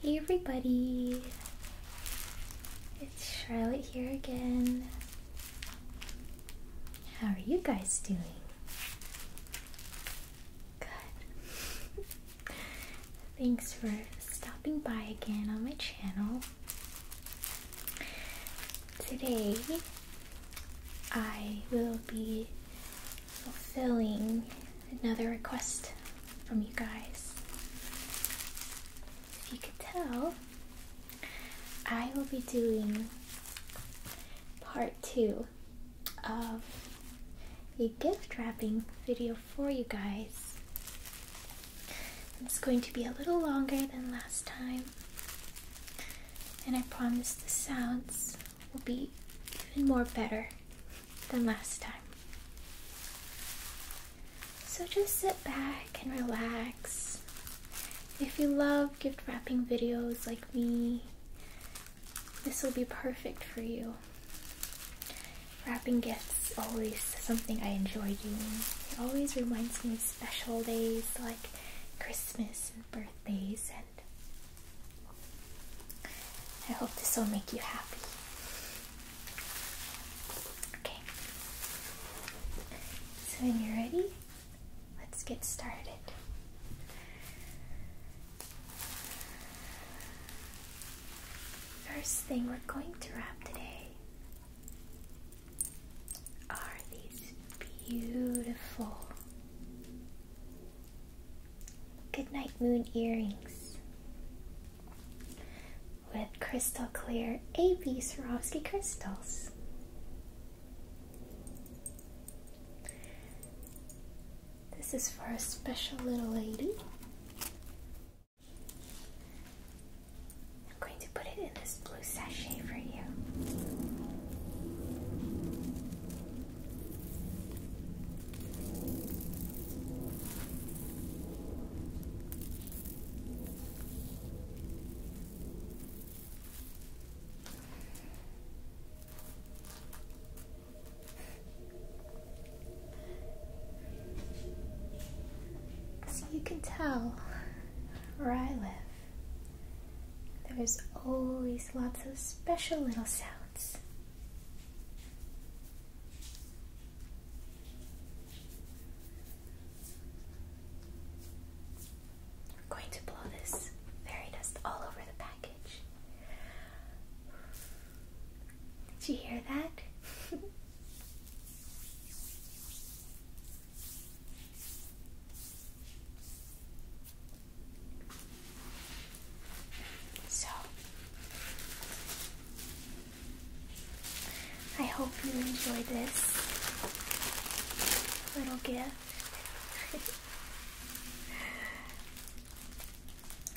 Hey everybody, it's Charlotte here again. How are you guys doing? Good. Thanks for stopping by again on my channel. Today I will be fulfilling another request from you guys. If you could tell, I will be doing part two of a gift wrapping video for you guys. It's going to be a little longer than last time and I promise the sounds will be even more better than last time. So just sit back and relax. If you love gift wrapping videos like me, this will be perfect for you. Wrapping gifts is always something I enjoy doing. It always reminds me of special days like Christmas and birthdays, and I hope this will make you happy. Okay, so when you're ready, let's get started. First thing we're going to wrap today are these beautiful Good Night Moon earrings with crystal clear AB Swarovski crystals. This is for a special little lady going to put it in this blue sachet for you. So you can tell where I live. There's always lots of special little sounds. We're going to blow this fairy dust all over the package. Did you hear that? So, I hope you enjoy this little gift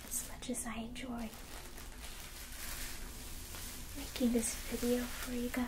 as much as I enjoy making this video for you guys.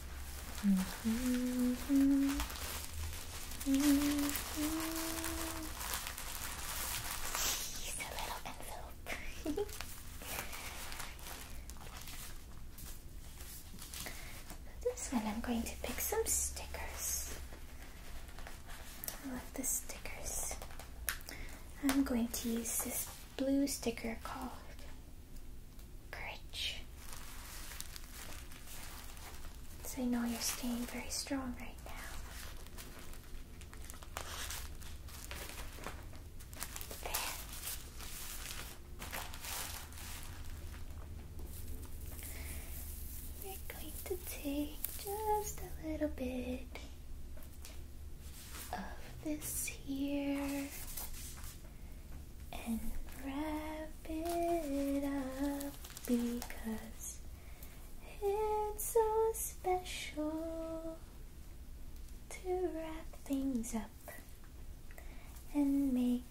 this one I'm going to pick some stickers. I love the stickers. I'm going to use this blue sticker called courage. I know you're staying very strong right now. We're going to take just a little bit of this here and wrap it up because it's so special to wrap things up and make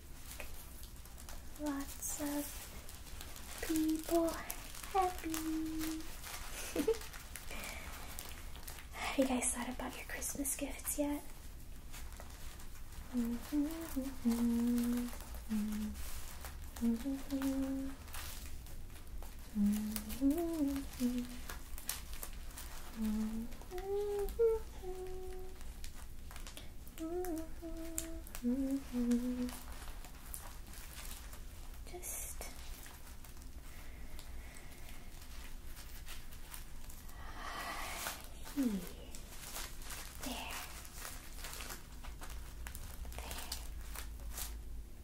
lots of people happy. Have you guys thought about your Christmas gifts yet? Just here, there.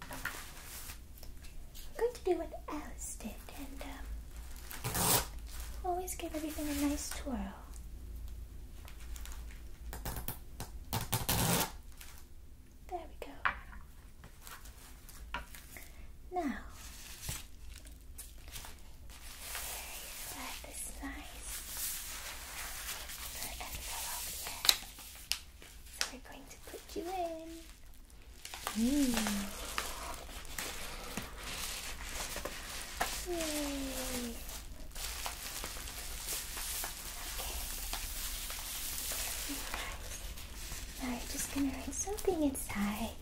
I'm going to do what Alice did and um, always give everything a nice twirl. There we go. Now, Inside this nice paper envelope we're going to put you in. Mm. Yay. Okay. Now we just gonna write something inside.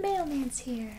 Mailman's here.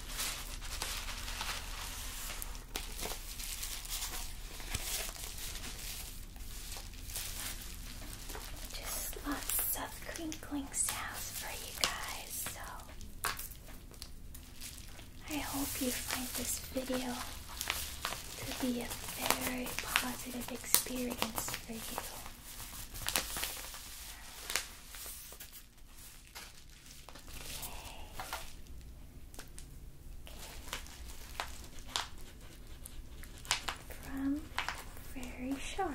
Just lots of crinkling sounds for you guys, so I hope you find this video to be a very positive experience for you. From very Sharp.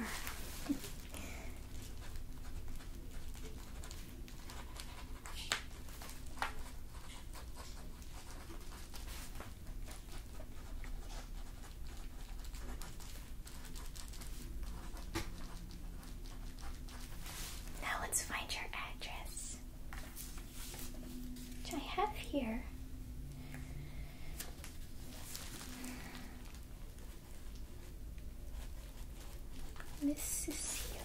Now let's find your address, which I have here. Miss Cecilia.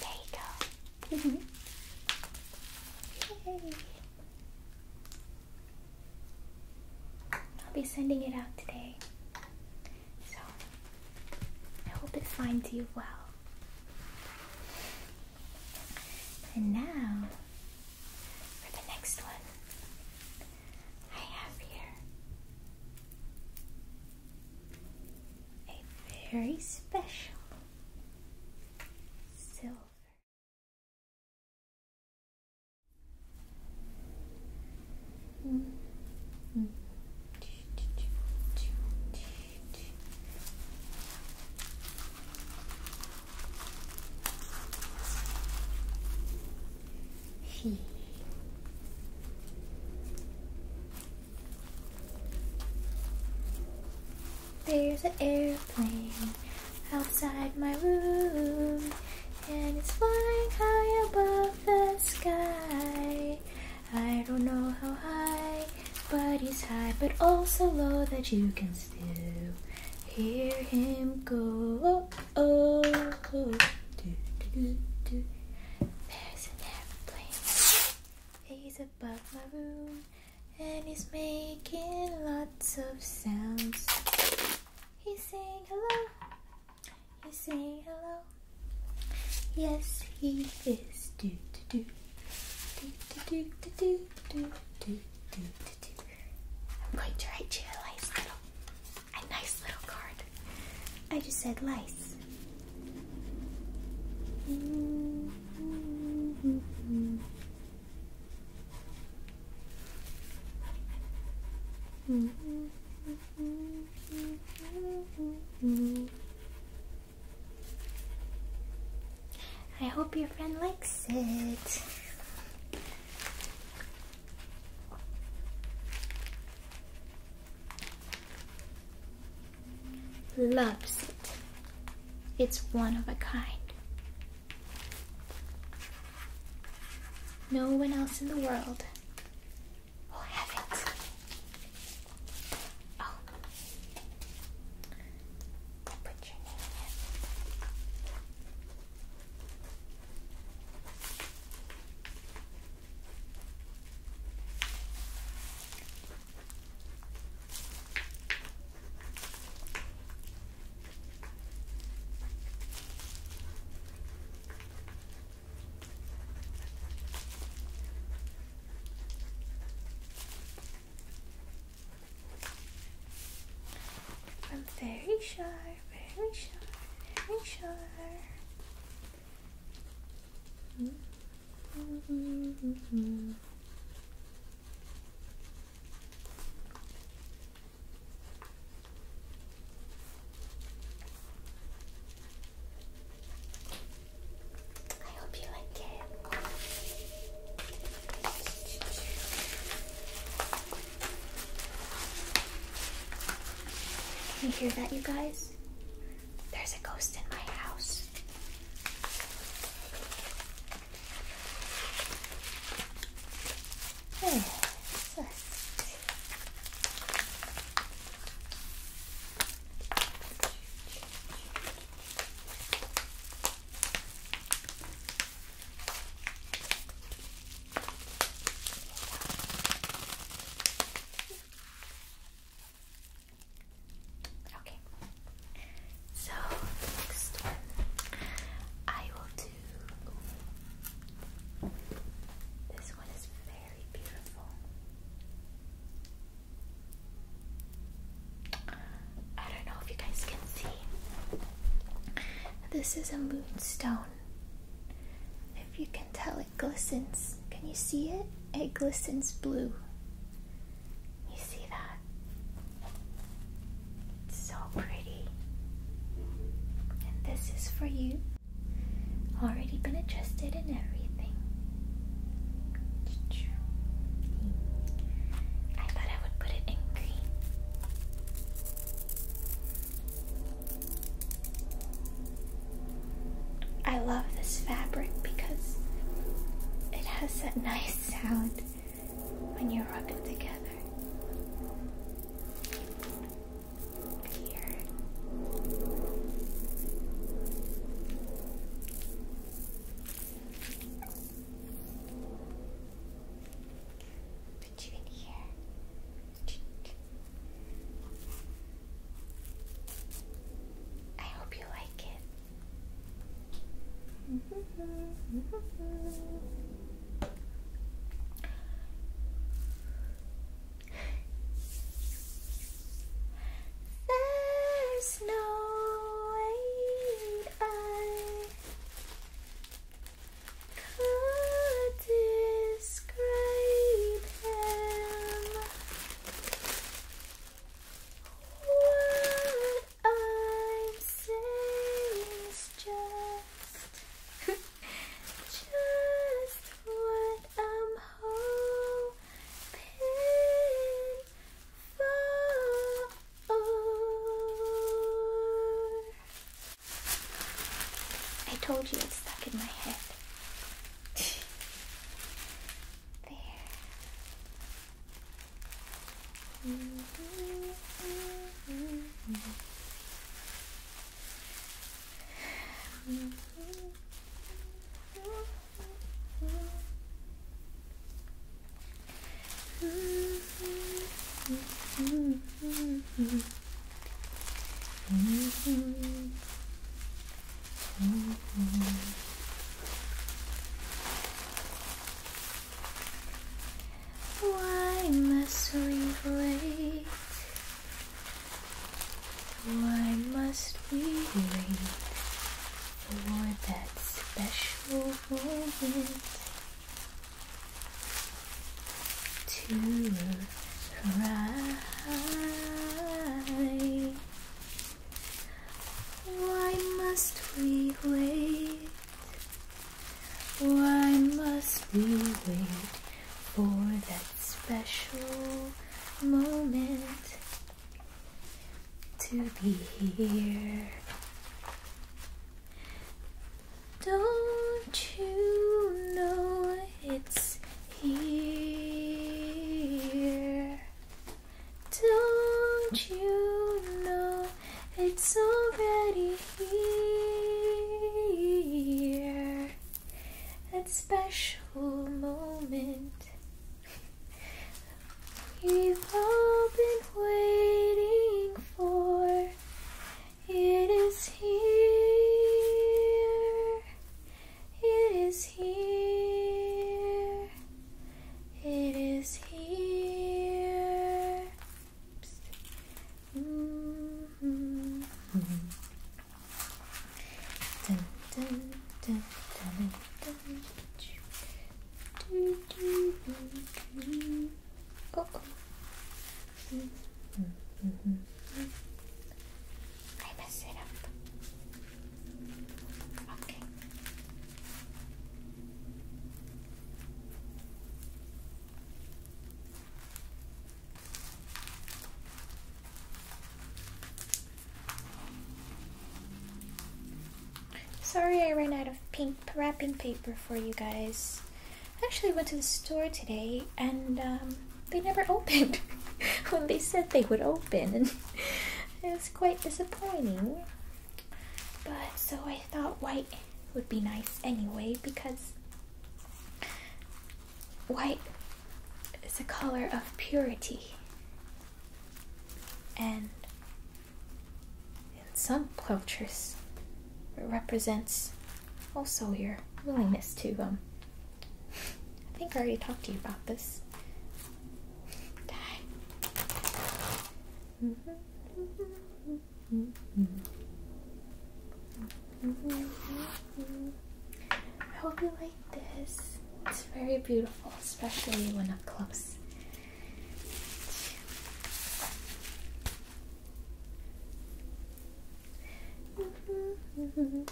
There you go. Mm-hmm. Yay. I'll be sending it out today. So, I hope it finds you well. And now, for the next one, I have here a very special silver. There's an airplane outside my room, and it's flying high above the sky. I don't know how high, but he's high, but also low that you can still hear him go. Oh, oh, oh. Do, do, do, There's an He's above my room, and he's making lots of sounds. He's saying hello, you say hello. Yes, he is. Do do do. Do do do do do do do do. I'm going to write you a nice little, a nice little card. I just said lice. Mm -hmm. Mm -hmm. I hope your friend likes it. Loves it. It's one of a kind. No one else in the world We'll have it. Oh. Put your name in. I'm very sure, very sure, very sure. I hope you like it. Can you hear that, you guys? There's a ghost in my house. Okay. So next one I will do this one is very beautiful. I don't know if you guys can see. This is a moonstone. If you can tell, it glistens. Can you see it? It glistens blue. You see that? It's so pretty. And this is for you. Already been adjusted and everything. I thought I would put it in green. I love this fabric because it has that nice sound when you rub it together. Here. Put you in here. I hope you like it. Mm-hmm. Mm-hmm. There's no way I could describe him. What I'm saying is just, just what I'm hoping for. I told you it's stuck in my head. there. Mm-hmm, mm-hmm, mm-hmm. Why must we wait why must we wait for that special moment to arrive? Why must we wait? Why must we wait for that special moment to be here. Don't you know it's here? Don't you know it's already here? that special moment we've all been waiting for. It is here, it is here, it is here. Dun, dun, dun, dun, dun, dun, dun, dun. Oh, oh. Mm -hmm, mm -hmm. I messed it up. Okay. Sorry I ran out of pink wrapping paper for you guys. I actually went to the store today and um, they never opened when they said they would open. And it was quite disappointing. But so I thought white would be nice anyway because White is a color of purity, and in some cultures, it represents also your willingness to um. I think I already talked to you about this. Mm-hmm. I hope you like this. It's very beautiful, especially when up close. Mm-hmm.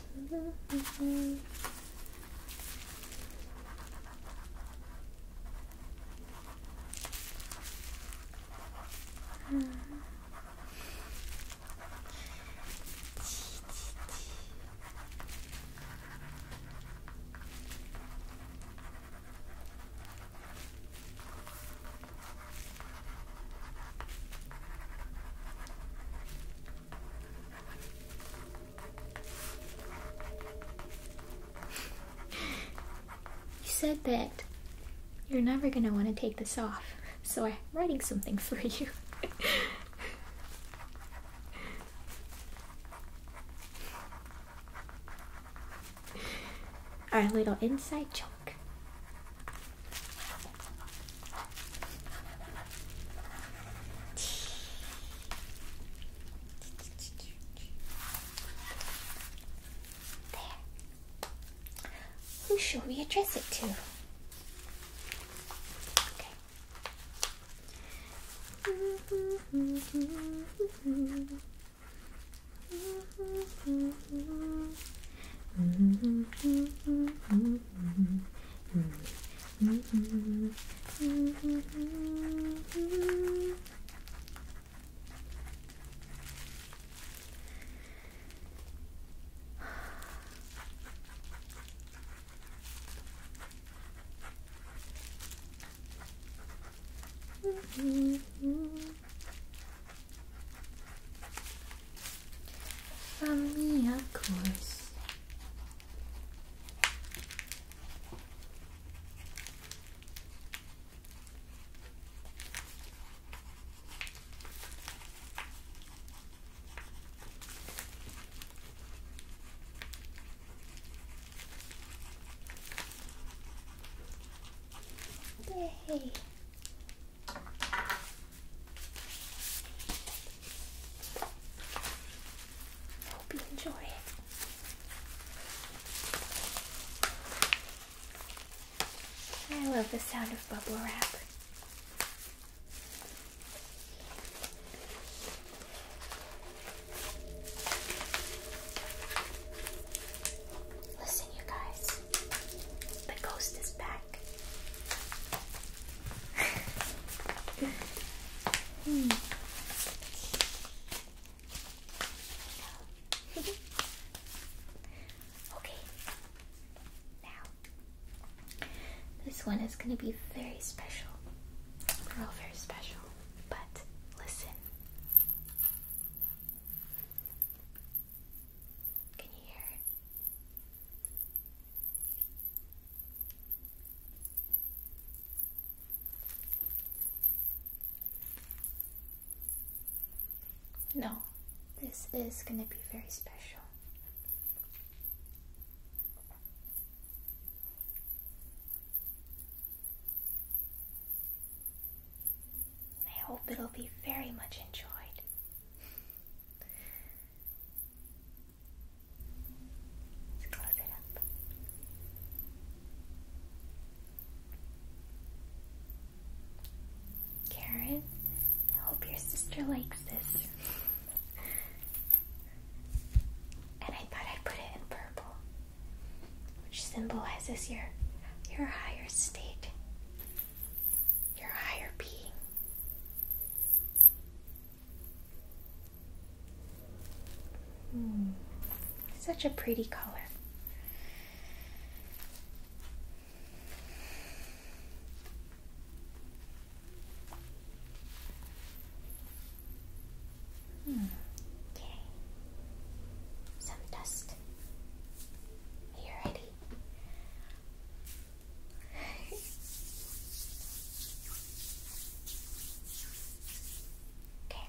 you said that you're never going to want to take this off, so I'm writing something for you. Our little inside joke. There. Who shall we address it to? Mm -hmm. course. Yay. Hope you enjoy it. I love the sound of bubble wrap. Listen, you guys, the ghost is back. okay, now, this one is going to be very special. we are all very special, but listen. Can you hear it? No, this is going to be very special. I hope it'll be very much enjoyed. close it up. Karen, I hope your sister likes this. and I thought I'd put it in purple, which symbolizes your your higher state, your higher being. Hmm. Such a pretty color. Hmm. Okay. Some dust. Are you ready? okay.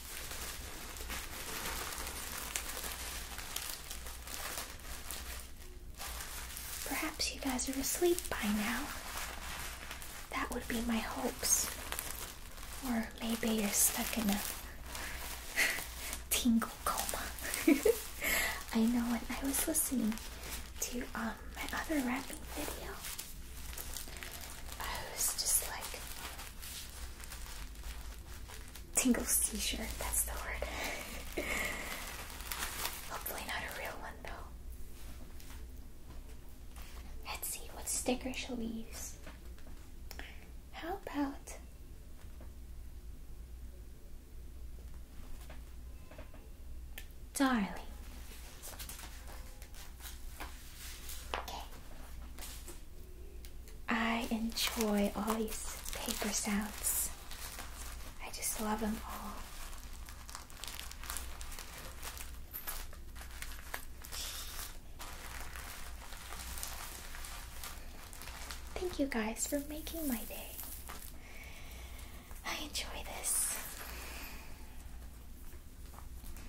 Perhaps you guys are asleep by now. That would be my hopes. Or maybe you're stuck in a tingle coma. I know when I was listening to um, my other rapping video, I was just like, Tingles t shirt, that's the word. Hopefully, not a real one though. Let's see, what sticker shall we use? How about. Darling, I enjoy all these paper sounds. I just love them all. Thank you guys for making my day. I enjoy this.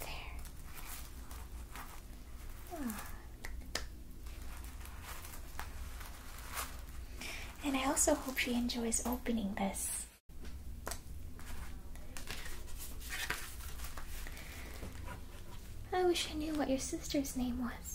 There. And I also hope she enjoys opening this. I wish I knew what your sister's name was.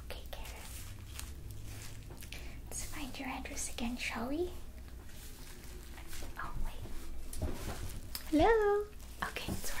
Okay, Karen. Let's find your address again, shall we? Oh, Hello. Okay, it's working.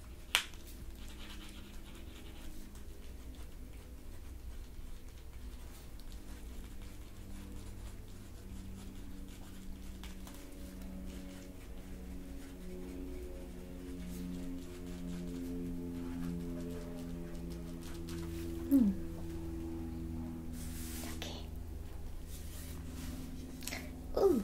Hmm. Okay. Ooh.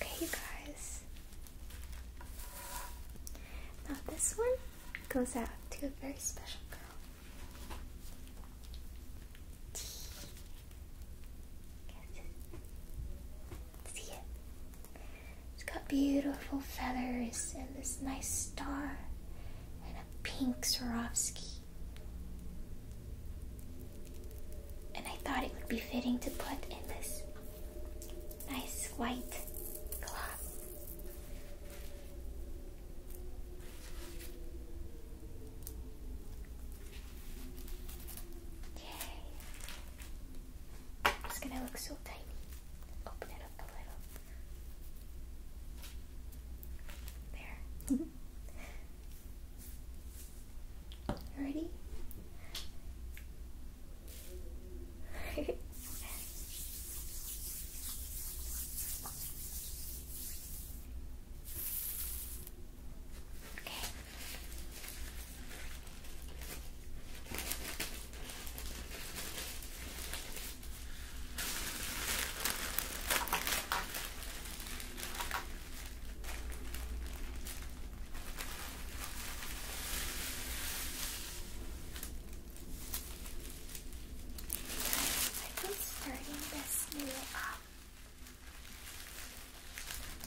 Okay, you guys. Now, this one goes out to a very special girl. See it? It's got beautiful feathers and this nice star and a pink Swarovski. And I thought it would be fitting to put in this nice white cloth. Yay. It's gonna look so tiny. Open it up a little. There. Ready? Okay. I've been starting this new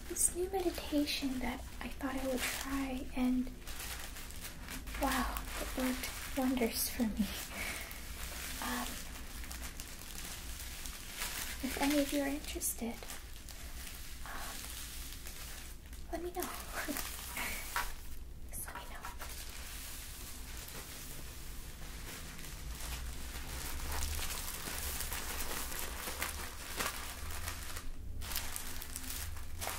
this new meditation that I thought I would try and Wow, it worked wonders for me. Um, if any of you are interested, um, let me know. let me know.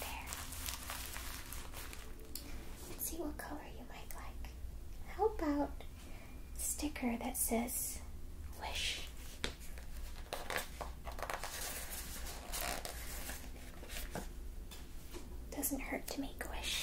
There. see what color you might like. How about sticker that says wish? Doesn't hurt to make wish.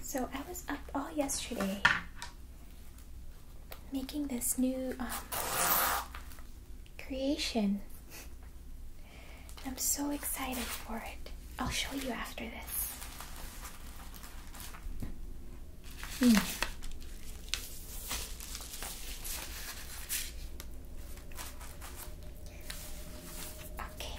So I was up all yesterday making this new um, creation. I'm so excited for it. I'll show you after this. Hmm. Okay,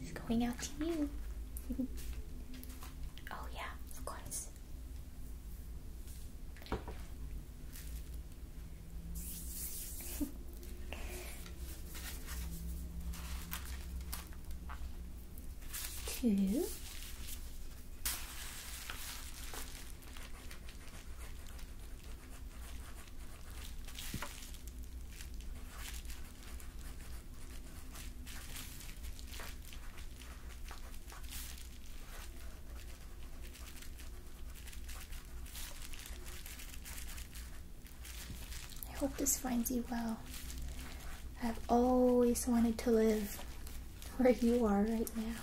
It's going out to you. oh, yeah, of course. Two. I hope this finds you well. I've always wanted to live where you are right now.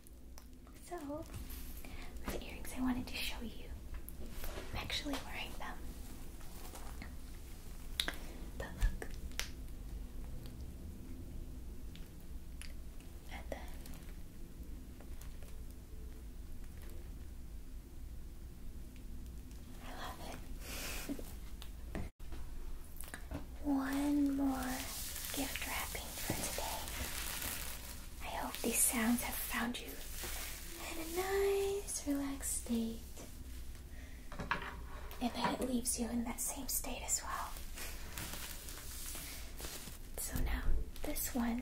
So, the earrings I wanted to show you, I'm actually wearing them. But look. And then. I love it one more gift wrapping for today. I hope these sounds have found you in a nice, relaxed state and that it leaves you in that same state as well. So now, this one,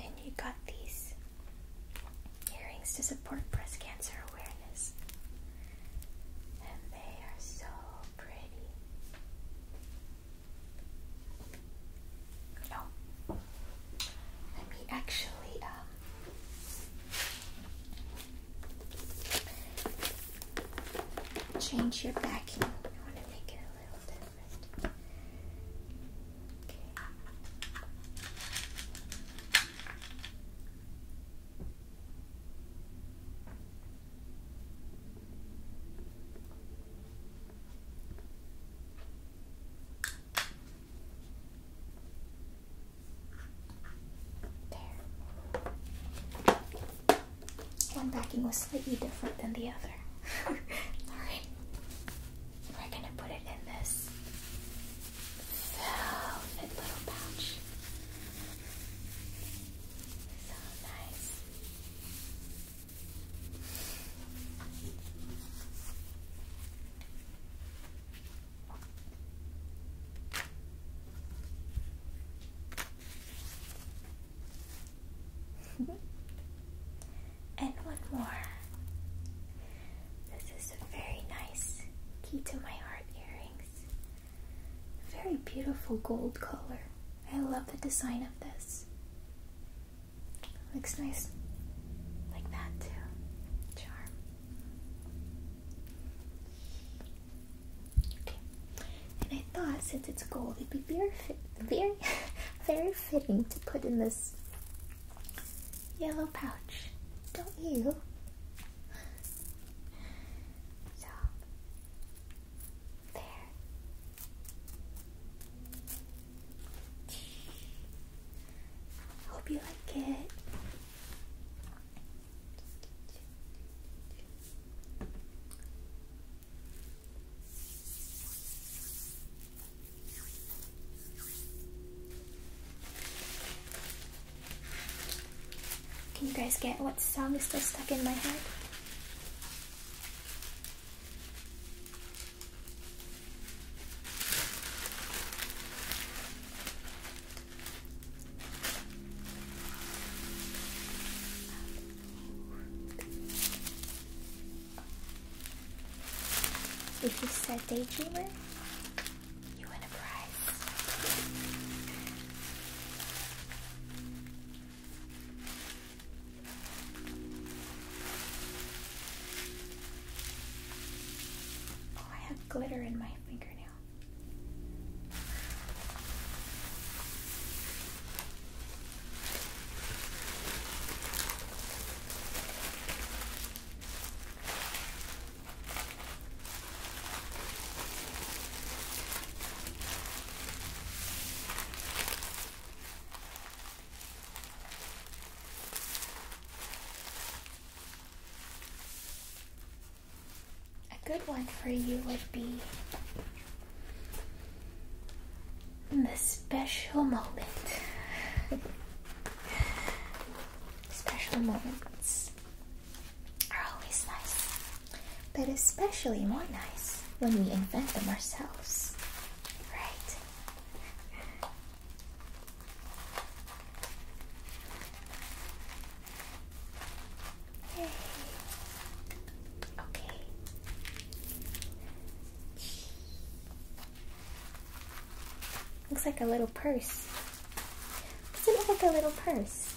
and you got these earrings to support breast cancer awareness, and they are so pretty. Oh, let me actually um change your backing. I want to make it a little different. Okay. One backing was slightly different than the other. Alright. We're gonna put it in this velvet little pouch. and one more. This is a very nice key to my heart earrings. Very beautiful gold color. I love the design of this. Looks nice like that too. Charm. Okay. And I thought since it's gold, it'd be very very, very fitting to put in this yellow pouch. Don't you? So there. Hope you like it. Can you guys get what song is still stuck in my head? If you said daydreamer, you win a prize. Oh, I have glitter in my fingernail. A good one for you would be the special moment. special moments are always nice, but especially more nice when we invent them ourselves, right? Okay. Looks like a little purse. Doesn't look like a little purse?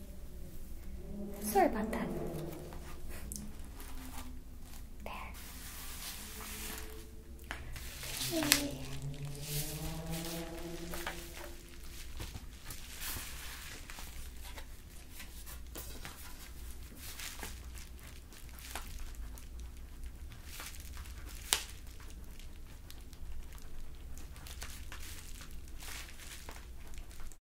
Sorry about that. There.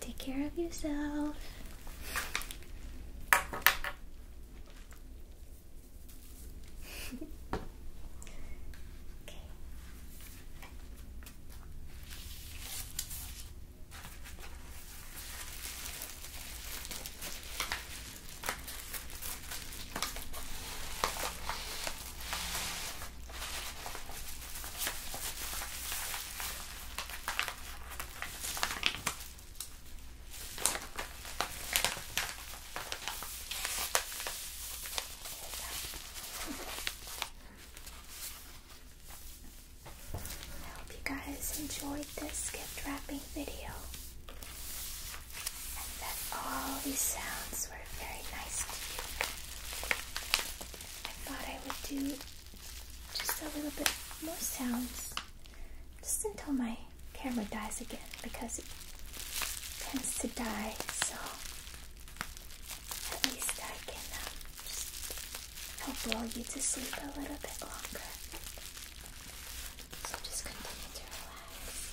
Take care of yourself. okay. I hope you guys enjoyed this gift wrapping video and that all these sounds were very nice to you. I thought I would do just a little bit more sounds just until my camera dies again because it tends to die. So at least I can um, just help lull you to sleep a little bit longer. So just continue to relax.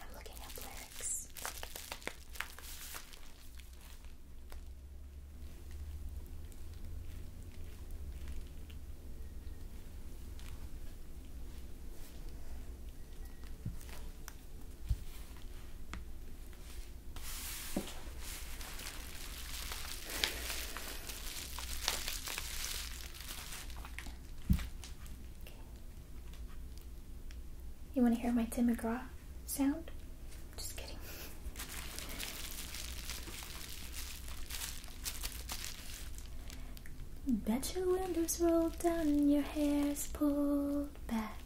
I'm looking up lyrics. You want to hear my Tim McGraw sound? Just kidding. Bet your windows rolled down and your hair's pulled back.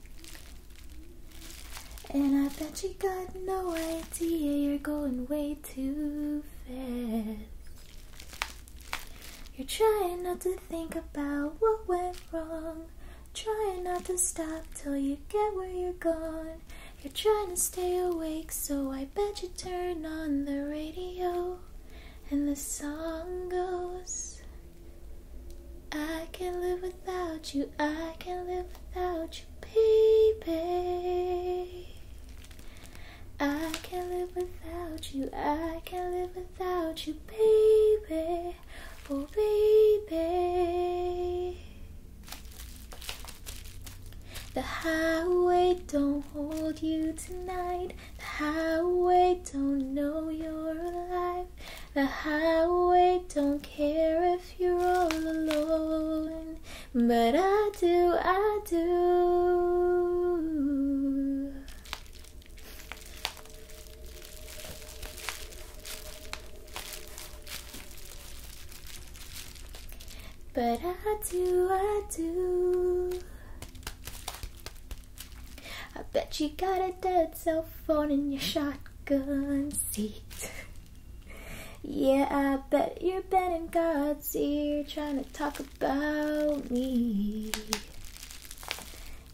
And I bet you got no idea you're going way too fast. You're trying not to think about what went wrong. Trying not to stop till you get where you're going. You're trying to stay awake, so I bet you turn on the radio. And the song goes. I can't live without you, I can't live without you, baby. I can't live without you, I can't live without you, baby. Oh, baby. The highway don't hold you tonight. The highway don't know you're alive. The highway don't care if you're all alone. But I do, I do. But I do, I do. I bet you got a dead cell phone in your shotgun seat. yeah, I bet you're bent in God's ear trying to talk about me.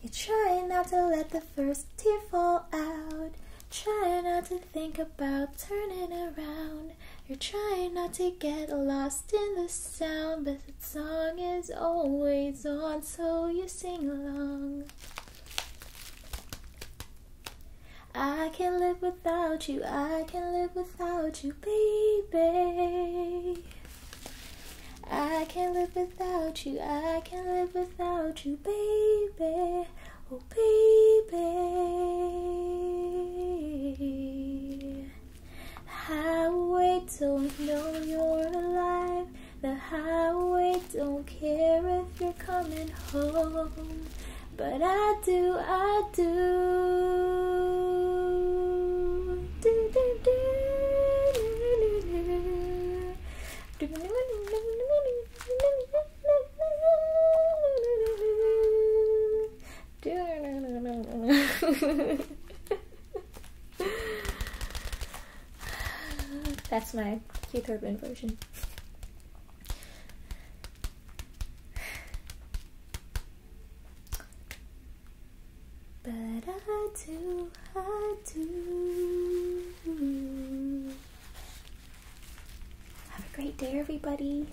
You're trying not to let the first tear fall out. Trying not to think about turning around. You're trying not to get lost in the sound, but the song is always on, so you sing along. I can't live without you, I can't live without you, baby. I can't live without you, I can't live without you, baby. Oh, baby highway don't know you're alive. The highway don't care if you're coming home. But I do, I do. do, do, do. That's my Keith Urban version. But I do, I do. Have a great day, everybody.